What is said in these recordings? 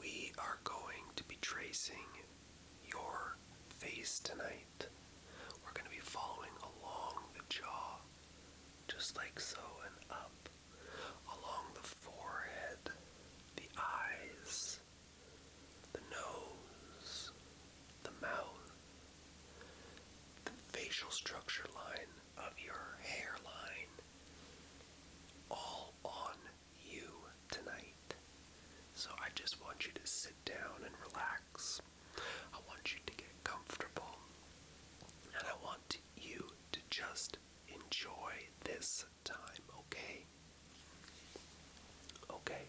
We are going to be tracing your face tonight. We're going to be following along the jaw, just like so, and up, along the forehead, the eyes, the nose, the mouth, the facial structure line of your hairline, all on you tonight. So I just want you to sit down and relax. I want you to get comfortable. And I want you to just enjoy this time, okay? Okay.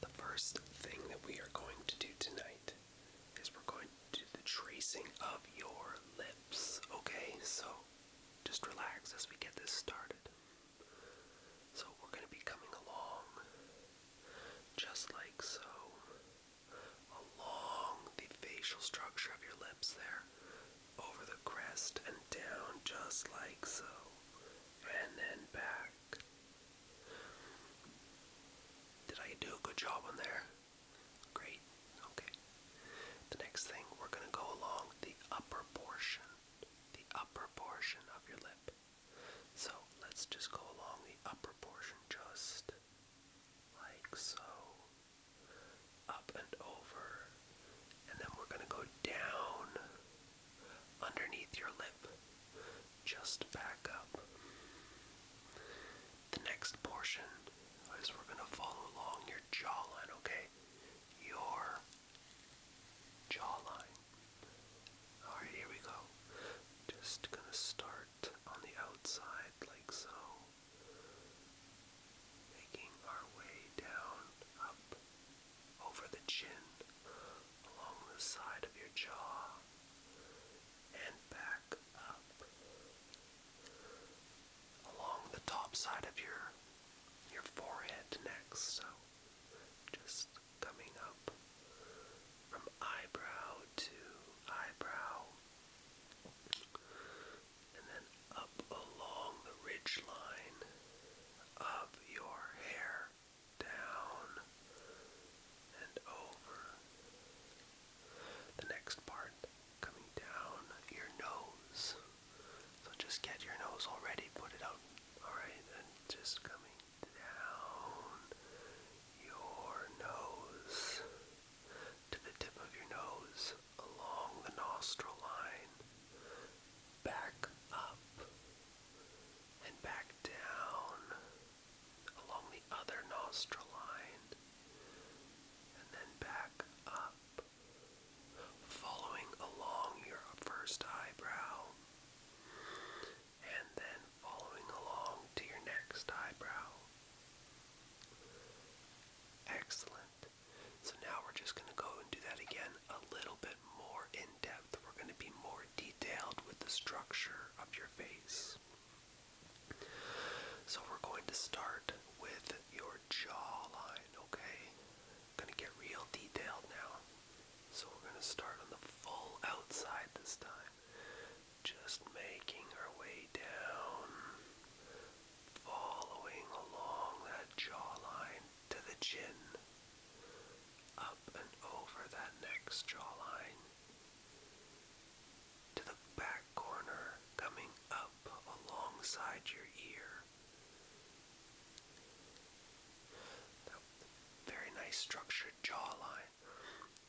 The first thing that we are going to do tonight is we're going to do the tracing of your lips, okay? So just relax as we get this started. So we're going to be coming along just like so, along the facial structure of your lips there, over the crest and down just like so, and then back. Did I do a good job on there? Great. Okay. The next thing, we're going to go along the upper portion, the upper portion of your lip. So let's just go along the upper portion just like so. Up and over. And then we're going to go down underneath your lip. Just back up. The next portion I guess we're going to follow along your jawline, okay? Your jawline. Alright, here we go. Just going to start on the outside like so. Making our way down, up, over the chin, along the side of your jaw, and back up along the top side of your your forehead next. So just coming up from eyebrow to eyebrow and then up along the ridge line of your hair down and over. The next part coming down your nose. So just get your nose already, put it out, alright? And just coming down your nose to the tip of your nose, along the nostril line, back up, and back down along the other nostril line and then back up, following along your first eyebrow, and then following along to your next eyebrow. Excellent. So now we're just going to go and do that again a little bit more in depth. We're going to be more detailed with the structure of your face. So we're going to start with your jawline, okay? gonna get real detailed now. So we're gonna start on the full outside this time. Just making our way down, following along that jawline to the chin, up and over that next jawline, to the back corner coming up alongside your ear. Now, very nice structured jawline.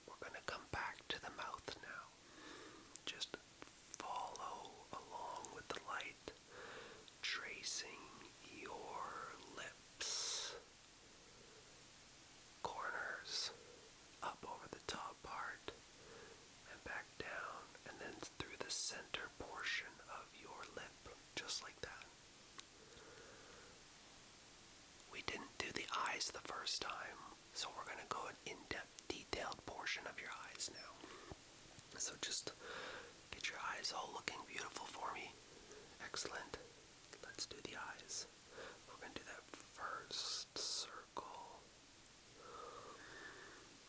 We're going to come back to the mouth now. Just follow along with the light, tracing your lips, corners, up over the top part and back down and then through the center portion of your lip, just like that. We didn't do the eyes the first time, so we're going to go an in-depth detailed portion of your eyes now. So just get your eyes all looking beautiful for me. Excellent. Let's do the eyes. We're going to do that first circle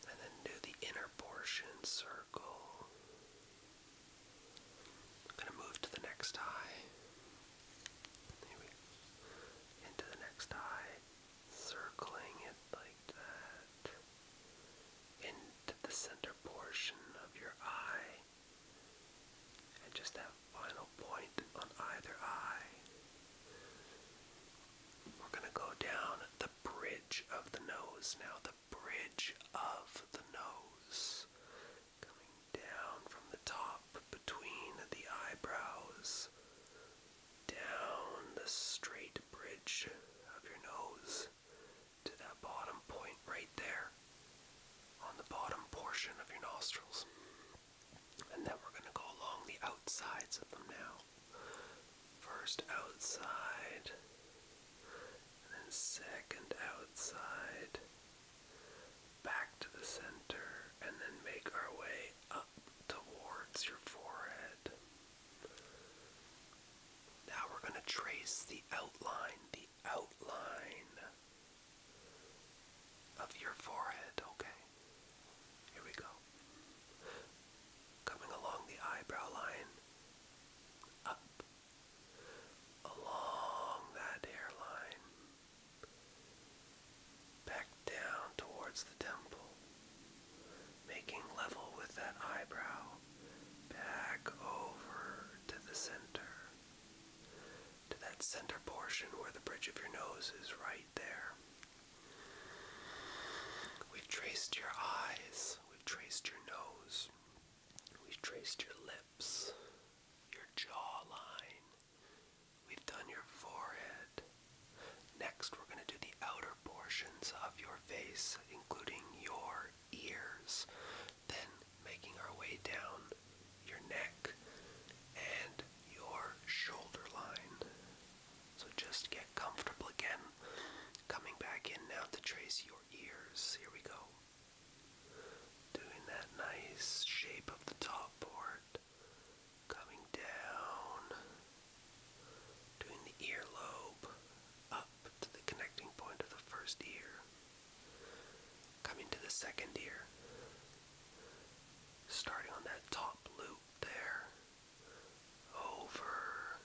and then do the inner portion circle. I'm going to move to the next eye. Into the next eye. Circling it like that. Into the center portion of your eye. And just have final point on either eye. We're going to go down the bridge of the nose now, the bridge of the nose. Coming down from the top between the eyebrows, down the straight bridge of your nose to that bottom point right there on the bottom portion of your nostrils. And then we're going to go along the outsides of them now. First outside, and then second outside, back to the center, and then make our way up towards your forehead. Now we're going to trace the outline, the outline of your forehead, okay? Here we go. Coming along the eyebrow line, up, along that hairline, back down towards the temple, making level with that eyebrow, back over to the center to that center portion where the bridge of your nose is right there. We've traced your eyes, we've traced your nose, we've traced your lips, your jawline, we've done your forehead. Next, we're going to do the outer portions of your face, including your ears, then making our way down your neck, and your shoulder line. So just get comfortable again. Coming back in now to trace your ears. Here we go. Doing that nice shape of the top part. Coming down. Doing the earlobe up to the connecting point of the first ear. Coming to the second ear, starting on that top loop there, over,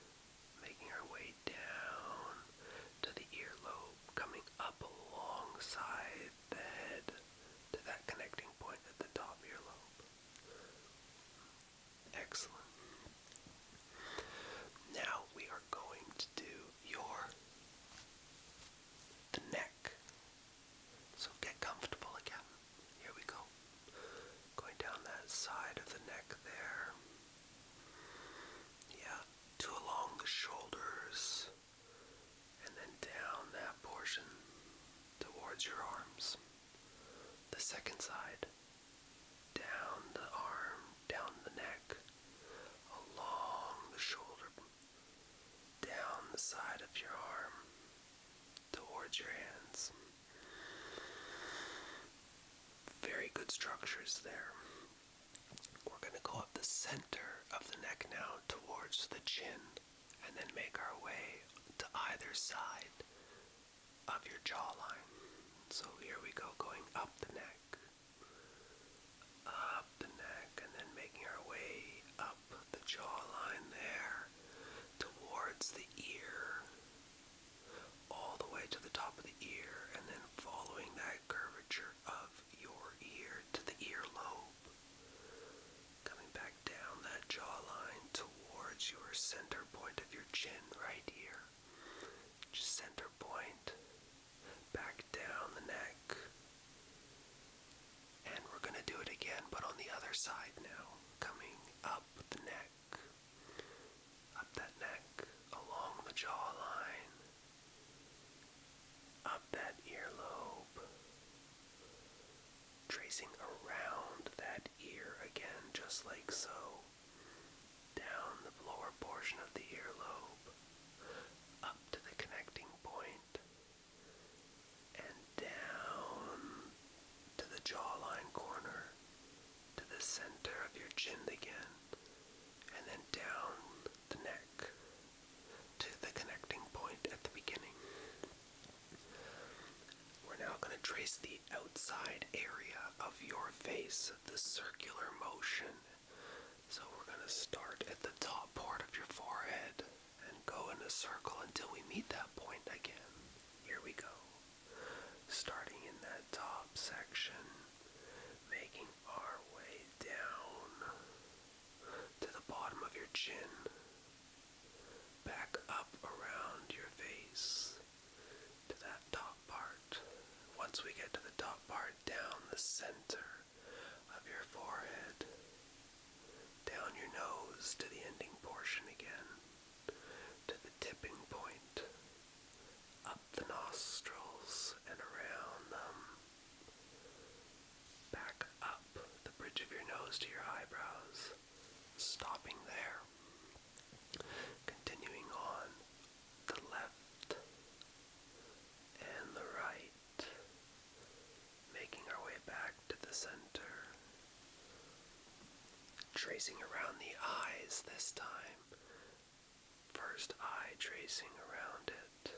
making our way down to the earlobe, coming up alongside the to that connecting point at the top earlobe. Excellent. Now we are going to do your the neck. So get comfortable again. Here we go. Going down that side of the neck there. Yeah, to along the shoulders and then down that portion towards your arms. The second side. Down the arm, down the neck, along the shoulder down the side of your arm towards your hands. Very good structures there. We're going to go up the center of the neck now towards the chin and then make our way to either side of your jawline. So here we go, going up the neck, up the neck and then making our way up the jawline there towards the ear, all the way to the top of the ear, and then following that curvature of your ear to the earlobe, coming back down that jawline towards your center point of your chin right here. Just center point, back down the neck. And we're going to do it again, but on the other side now, coming up the neck, up that neck, along the jawline, up that earlobe, tracing around that ear again, just like so, down the lower portion of the earlobe, up to the connecting point, and down to the jawline corner, to the center of your chin again, and then down the neck to the connecting point at the beginning. We're now going to trace the outside area of your face, the circular motion so we're going to start at the top part of your forehead and go in a circle until we meet that point again. Here we go. Starting in that top section, making our way down to the bottom of your chin, back up around your face to that top part. Once we get to the top part, down the center of your forehead, down your nose to the ending portion again, to the tipping point, up the nostrils and around them, back up the bridge of your nose to your eyebrows, stopping there, continuing on the left, and the right, making our way back to the center, tracing around the eyes this time. First eye tracing around it,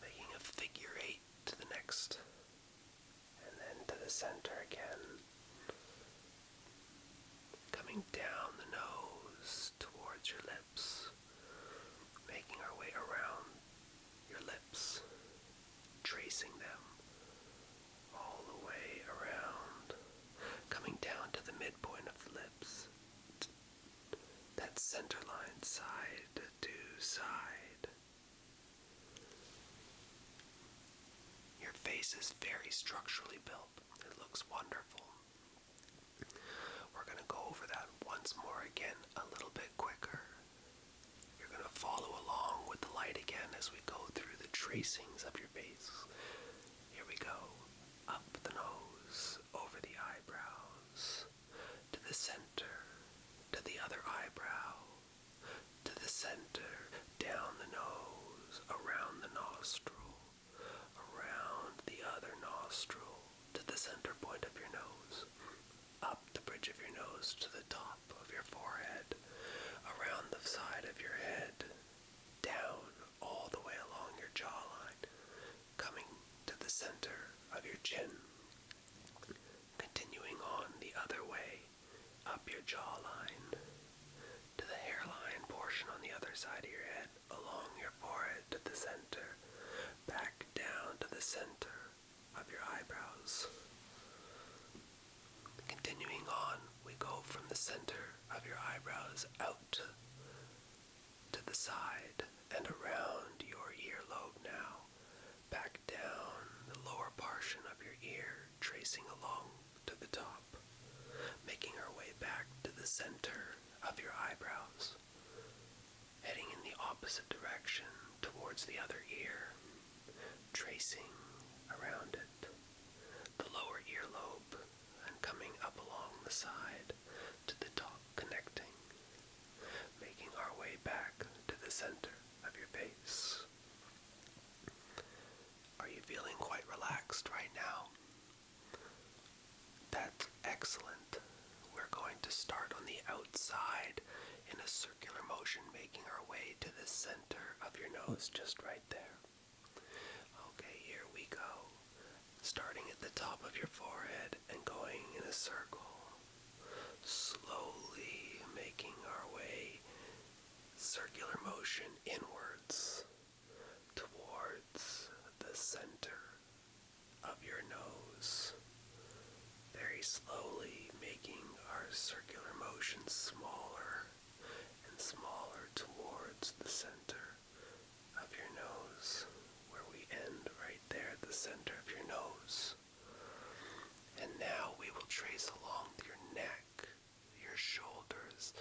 making a figure eight to the next, and then to the center again coming down the nose towards your lips, making our way around your lips, tracing them all the way around, coming down to the midpoint of the lips, that center line side to side. Your face is very structurally built. It looks wonderful. We're going to go over that once more again a little bit quicker. You're going to follow along with the light again as we go through the tracings of your face. Here we go. Up the nose, over the eyebrows, to the center, to the other eyebrow, to the center, down the nose, around the nostril, around the other nostril to the center point of your nose, up the bridge of your nose to the top of your forehead, around the side of your head, down all the way along your jawline, coming to the center of your chin, continuing on the other way up your jawline to the hairline portion on the other side of your head along your forehead to the center, back down to the center of your eyebrows. Continuing on, we go from the center of your eyebrows out to the side and around your earlobe now, back down the lower portion of your ear, tracing along to the top, making our way back to the center of your eyebrows, heading in the opposite direction towards the other ear, tracing around it, the lower earlobe, and coming up along the side to the top, connecting, making our way back to the center of your face. Are you feeling quite relaxed right now? That's excellent. We're going to start on the outside in a circular motion, making our way to the center of your nose, just right there. Okay, here we go. Starting at the top of your forehead and going in a circle. Slowly making our way circular motion inwards towards the center of your nose, very slowly making our circular motion smaller and smaller towards the center of your nose, where we end right there at the center of your nose. And now we will trace along your neck your shoulders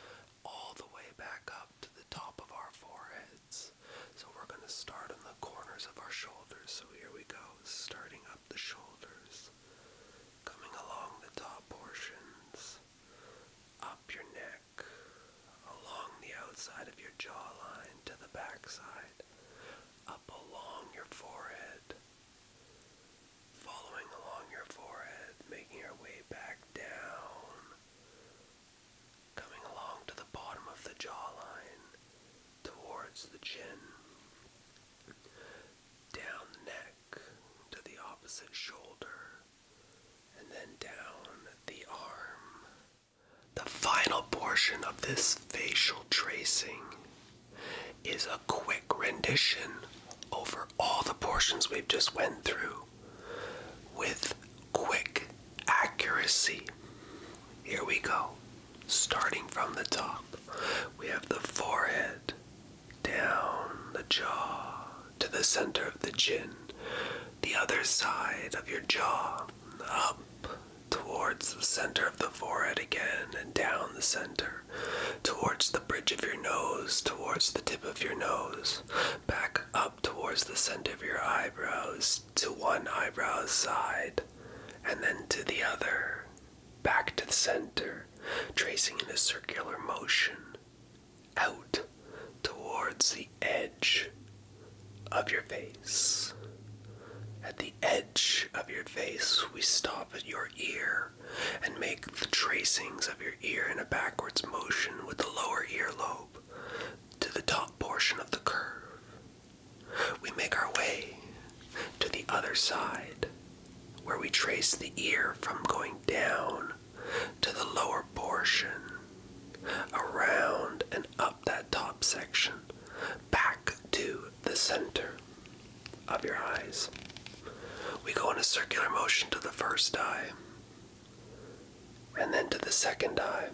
all the way back up to the top of our foreheads. So we're going to start on the corners of our shoulders. So here we go, starting up the shoulders, coming along the top portions, up your neck, along the outside of your jawline to the backside, up along your forehead, following along your forehead, making our way back down, coming along to the bottom of the jawline, towards the chin, down the neck to the opposite shoulder, and then down the arm. The final portion of this facial tracing is a quick rendition over all the portions we've just went through with quick accuracy. Here we go. Starting from the top, we have the forehead, down the jaw, to the center of the chin, the other side of your jaw, up towards the center of the forehead again, and down the center towards the bridge of your nose, towards the tip of your nose, back up towards the center of your eyebrows, to one eyebrow's side, and then to the other, back to the center, tracing in a circular motion, out towards the edge of your face. At the edge of your face, we stop at your ear and make the tracings of your ear in a backwards motion with the lower earlobe to the top portion of the curve. We make our way to the other side where we trace the ear from going down to the lower portion, around and up that top section, back to the center of your eyes. We go in a circular motion to the first eye and then to the second eye.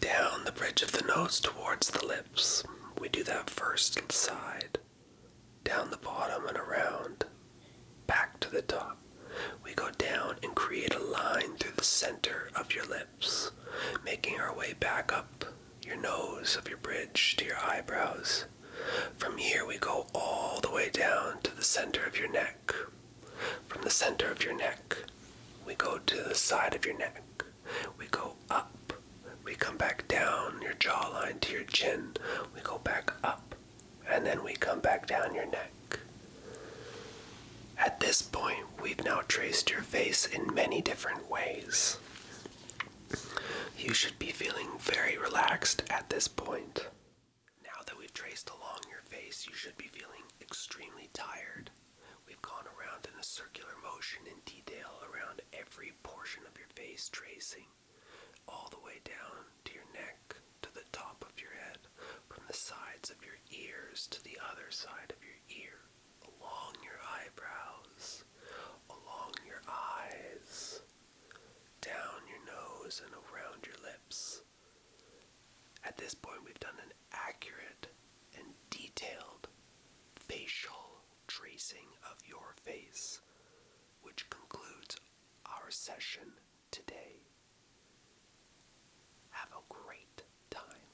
Down the bridge of the nose towards the lips. We do that first side. Down the bottom and around. Back to the top. We go down and create a line through the center of your lips, making our way back up your nose of your bridge to your eyebrows. From here, we go all the way down to the center of your neck. From the center of your neck, we go to the side of your neck. We go up. We come back down your jawline to your chin. We go back up. And then we come back down your neck. At this point, we've now traced your face in many different ways. You should be feeling very relaxed at this point. Now that we've traced along your face, you should be feeling extremely tired. We've gone around in a circular motion in detail around every portion of your face, tracing all the way down to your neck, to the top of your head, from the sides of your ears to the other side of your ear along your eyebrows, along your eyes, down your nose, and around your lips. At this point, we've done an accurate and detailed facial tracing of your face, which concludes our session today. Have a great time.